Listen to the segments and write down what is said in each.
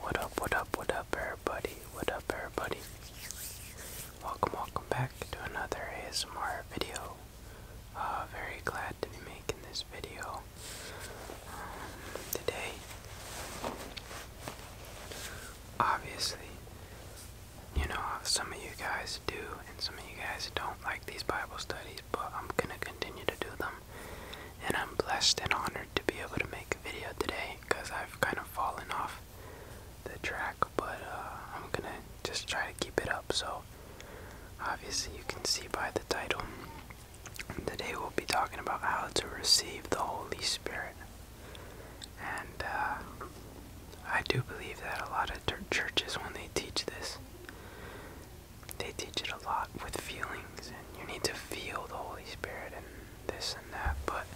What up, what up, what up, everybody? What up, everybody? Welcome, welcome back to another ASMR video. Uh, very glad to be making this video um, today. Obviously, you know, some of you guys do, and some of you guys don't like these Bible studies, but I'm gonna continue to do them. And I'm blessed and honored to be able to make a video today because I've kind of fallen off the track, but uh, I'm gonna just try to keep it up. So, obviously, you can see by the title. Today, we'll be talking about how to receive the Holy Spirit. And uh, I do believe that a lot of churches, when they teach this, they teach it a lot with feelings, and you need to feel the Holy Spirit and this and that, but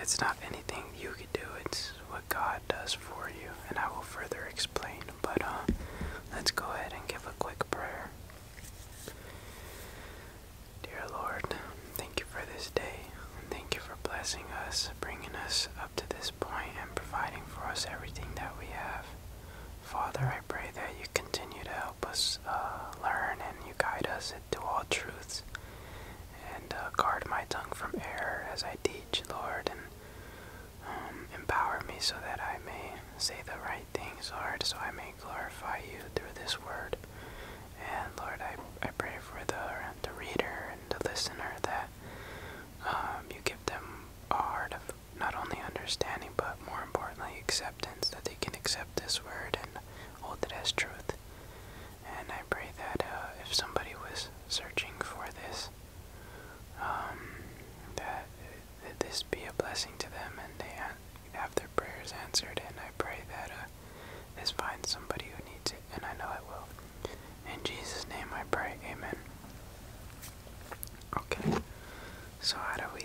it's not anything you could do, it's what God does for you, and I will further explain. But uh, let's go ahead and give a quick prayer. Dear Lord, thank you for this day, and thank you for blessing us, bringing us up to this and providing for us everything that we have. Father, I pray that you continue to help us uh, learn and you guide us to all truths. And uh, guard my tongue from error as I teach, Lord, and um, empower me so that I may say the right things, Lord, so I may glorify you through this word. And Lord, I, I pray for the, the reader and the listener that um, you give them a heart of not only understanding but more importantly acceptance that they can accept this word and hold it as truth. And I pray that uh, if somebody was searching for this, um, that, this be a blessing to them and they have their prayers answered. And I pray that uh, this finds somebody who needs it, and I know it will. In Jesus' name I pray, amen. Okay, so how do we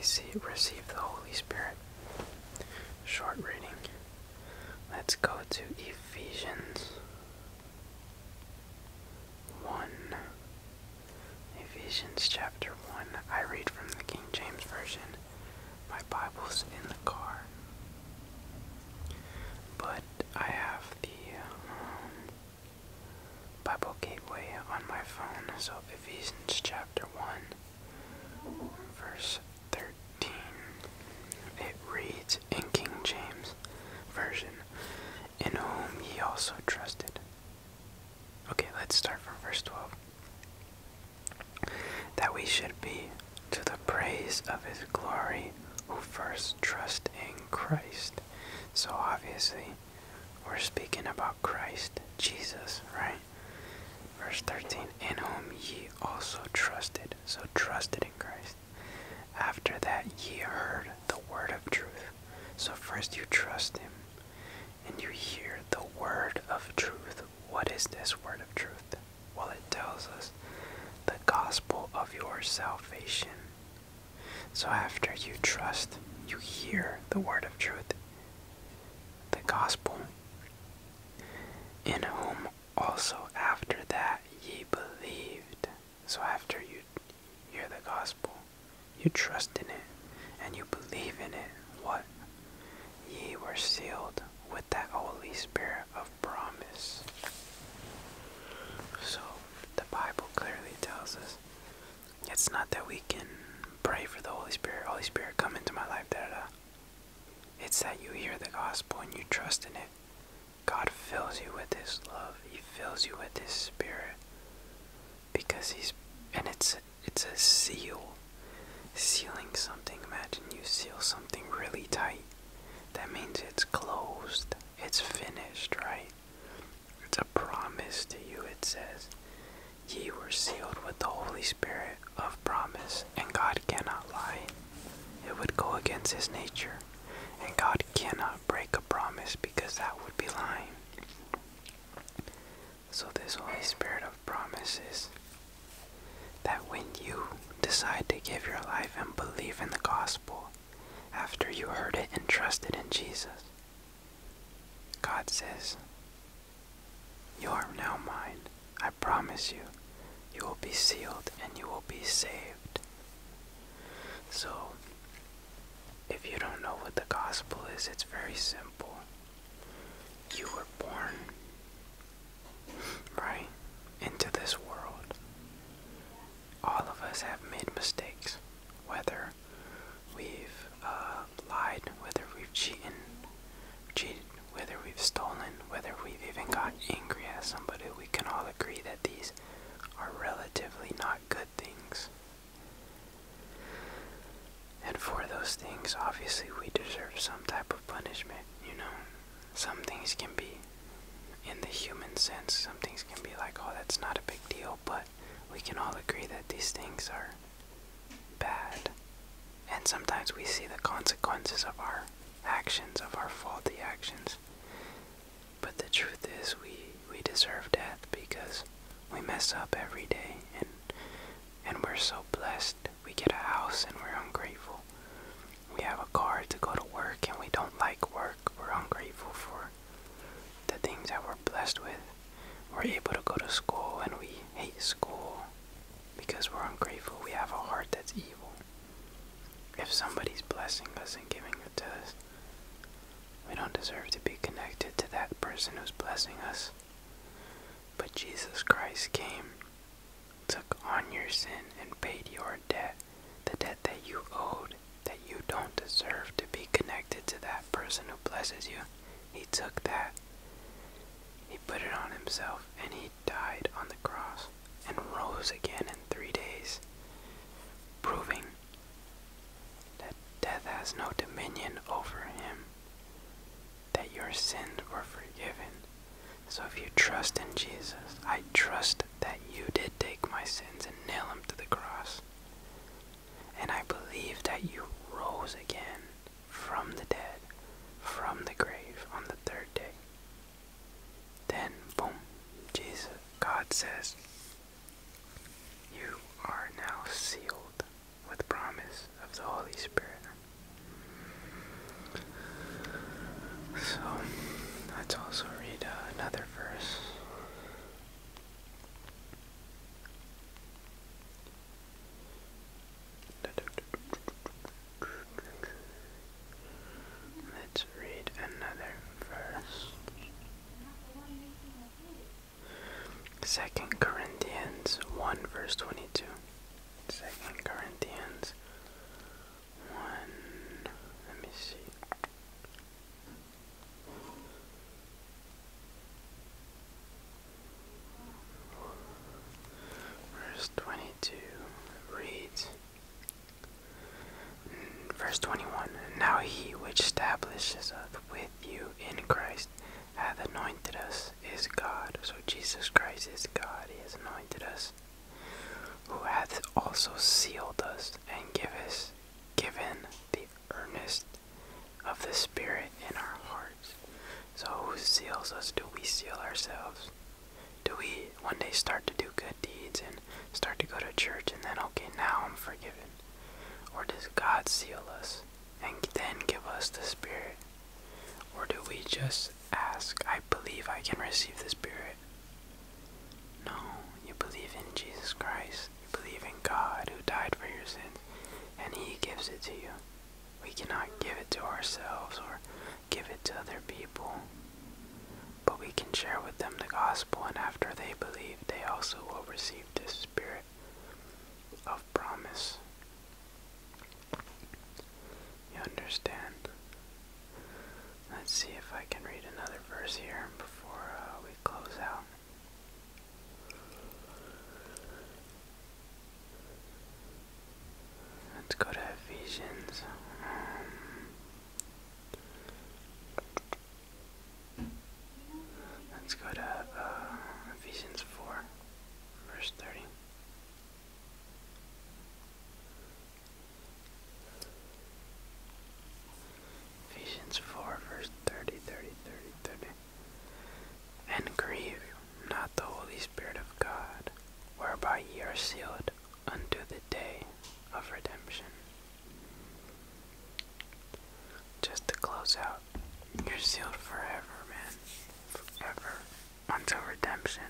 receive the Holy Spirit? Short reading. Let's go to Ephesians 1. Ephesians chapter 1. I read from the King James Version. My Bible's in the car. But I have the um, Bible Gateway on my phone, so Ephesians chapter 1, verse 13. It reads in King James Version, In whom he also trusted. Okay, let's start from verse 12. That we should be to the praise of his glory, who first trust in Christ. So obviously, we're speaking about Christ, Jesus, right? Verse 13, in whom ye also trusted. So trusted in Christ. After that, ye heard the word of truth. So first you trust him, and you hear the word of truth. What is this word of truth? Well, it tells us the gospel of your salvation. So after you trust, you hear the word of truth, the gospel, in whom also after that ye believed. So after you hear the gospel, you trust in it and you believe in it. What? Ye were sealed with that Holy Spirit of promise. So, the Bible clearly tells us it's not that we can pray for the Holy Spirit, Holy Spirit, come into my life, It's that you hear the gospel and you trust in it. God fills you with this love, He fills you with this Spirit. Because He's, and it's, it's a seal. Sealing something, imagine you seal something really tight. That means it's closed. It's finished, right? It's a promise to you, it says. Ye were sealed with the Holy Spirit of promise, and God cannot lie. It would go against his nature, and God cannot break a promise because that would be lying. So, this Holy Spirit of promise is that when you decide to give your life and believe in the gospel after you heard it and trusted in Jesus, God says, You are now mine. I promise you, you will be sealed and you will be saved. So, if you don't know what the gospel is, it's very simple. You were born right, into this world. All of us have made mistakes, whether we've uh, lied, whether we've cheated, cheated, whether we've stolen, whether we've even got angry at somebody. We can all agree that these are relatively not good things. And for those things, obviously, we deserve some type of punishment, you know? some things can be, in the human sense, some things can be like, oh, that's not a big deal, but we can all agree that these things are bad. And sometimes we see the consequences of our actions, of our faulty actions. But the truth is, we, we deserve death because we mess up every day and and we're so blessed. We get a house and we're ungrateful. We have a car to go to work and we don't like work. We're ungrateful for the things that we're blessed with. We're able to go to school and we hate school because we're ungrateful. We have a heart that's evil. If somebody's blessing us and giving it to us, we don't deserve to be connected to that person who's blessing us. But Jesus Christ came took on your sin and paid your debt, the debt that you owed, that you don't deserve to be connected to that person who blesses you. He took that, he put it on himself, and he died on the cross and rose again in three days, proving that death has no dominion over him that your sins were forgiven. So if you trust in Jesus, I trust that you did take my sins and nail them to the cross. And I believe that you rose again from the dead, from the grave on the third day. Then, boom, Jesus, God says, You are now sealed with promise of the Holy Spirit. So let's also read uh, another verse. Let's read another verse. Second Corinthians one verse twenty two. Second Corinthians one let me see. Verse 22 reads, verse 21 Now he which establishes us with you in Christ hath anointed us is God. So Jesus Christ is God. He has anointed us. Who hath also sealed us and give given the earnest of the Spirit in our hearts. So who seals us? Do we seal ourselves? Do we one day start to do good deeds and start to go to church and then, okay, now I'm forgiven? Or does God seal us and then give us the Spirit? Or do we just ask, I believe I can receive the Spirit? No, you believe in Jesus Christ. You believe in God who died for your sins, and He gives it to you. We cannot give it to ourselves or give it to other people. But we can share with them the gospel, and after they believe, they also will receive the Spirit of promise. You understand? Let's see if I can read another verse here before uh, we close out. Let's go to Ephesians. Um, let's go to uh, Ephesians 4, verse 30. Ephesians 4, verse 30, 30, 30, And grieve not the Holy Spirit of God, whereby ye are sealed unto the day of redemption. Just to close out, you're sealed forever, man. Ever until redemption.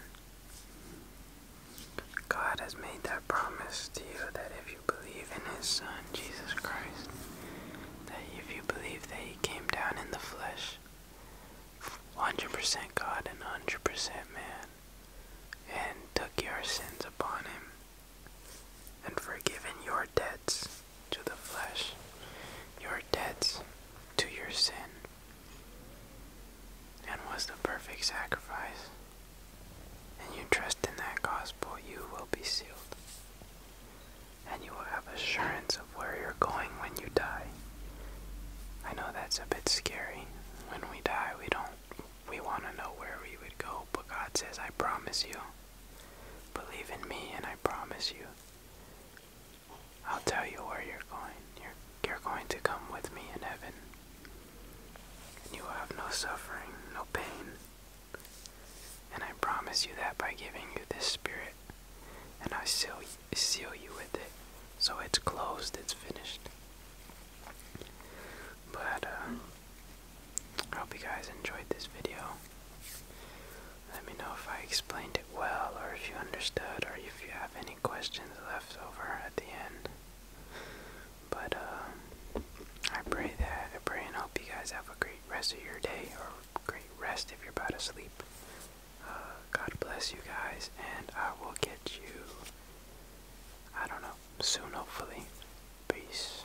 God has made that promise to you that if you believe in His Son, Jesus Christ, that if you believe that He came down in the flesh, 100% God and 100% man, and took your sins upon Him, and forgiven your debts to the flesh, your debts to your sin, and was the perfect sacrifice, and you trust in that gospel, you will be sealed. And you will have assurance of where you're going when you die. I know that's a bit scary. When we die, we don't we want to know where we would go, but God says, I promise you. Believe in me and I promise you. I'll tell you where you're going. You're, going to come with me in heaven. And you will have no suffering, no pain. And I promise you that by giving you this spirit. And I seal, seal you with it. So it's closed, it's finished. But, uh, I hope you guys enjoyed this video. Let me know if I explained it well or if you understood or if you have any questions left over at the end. But uh, I pray that I pray and hope you guys have a great rest of your day or great rest if you're about to sleep. Uh, God bless you guys, and I will get you. I don't know soon, hopefully. Peace.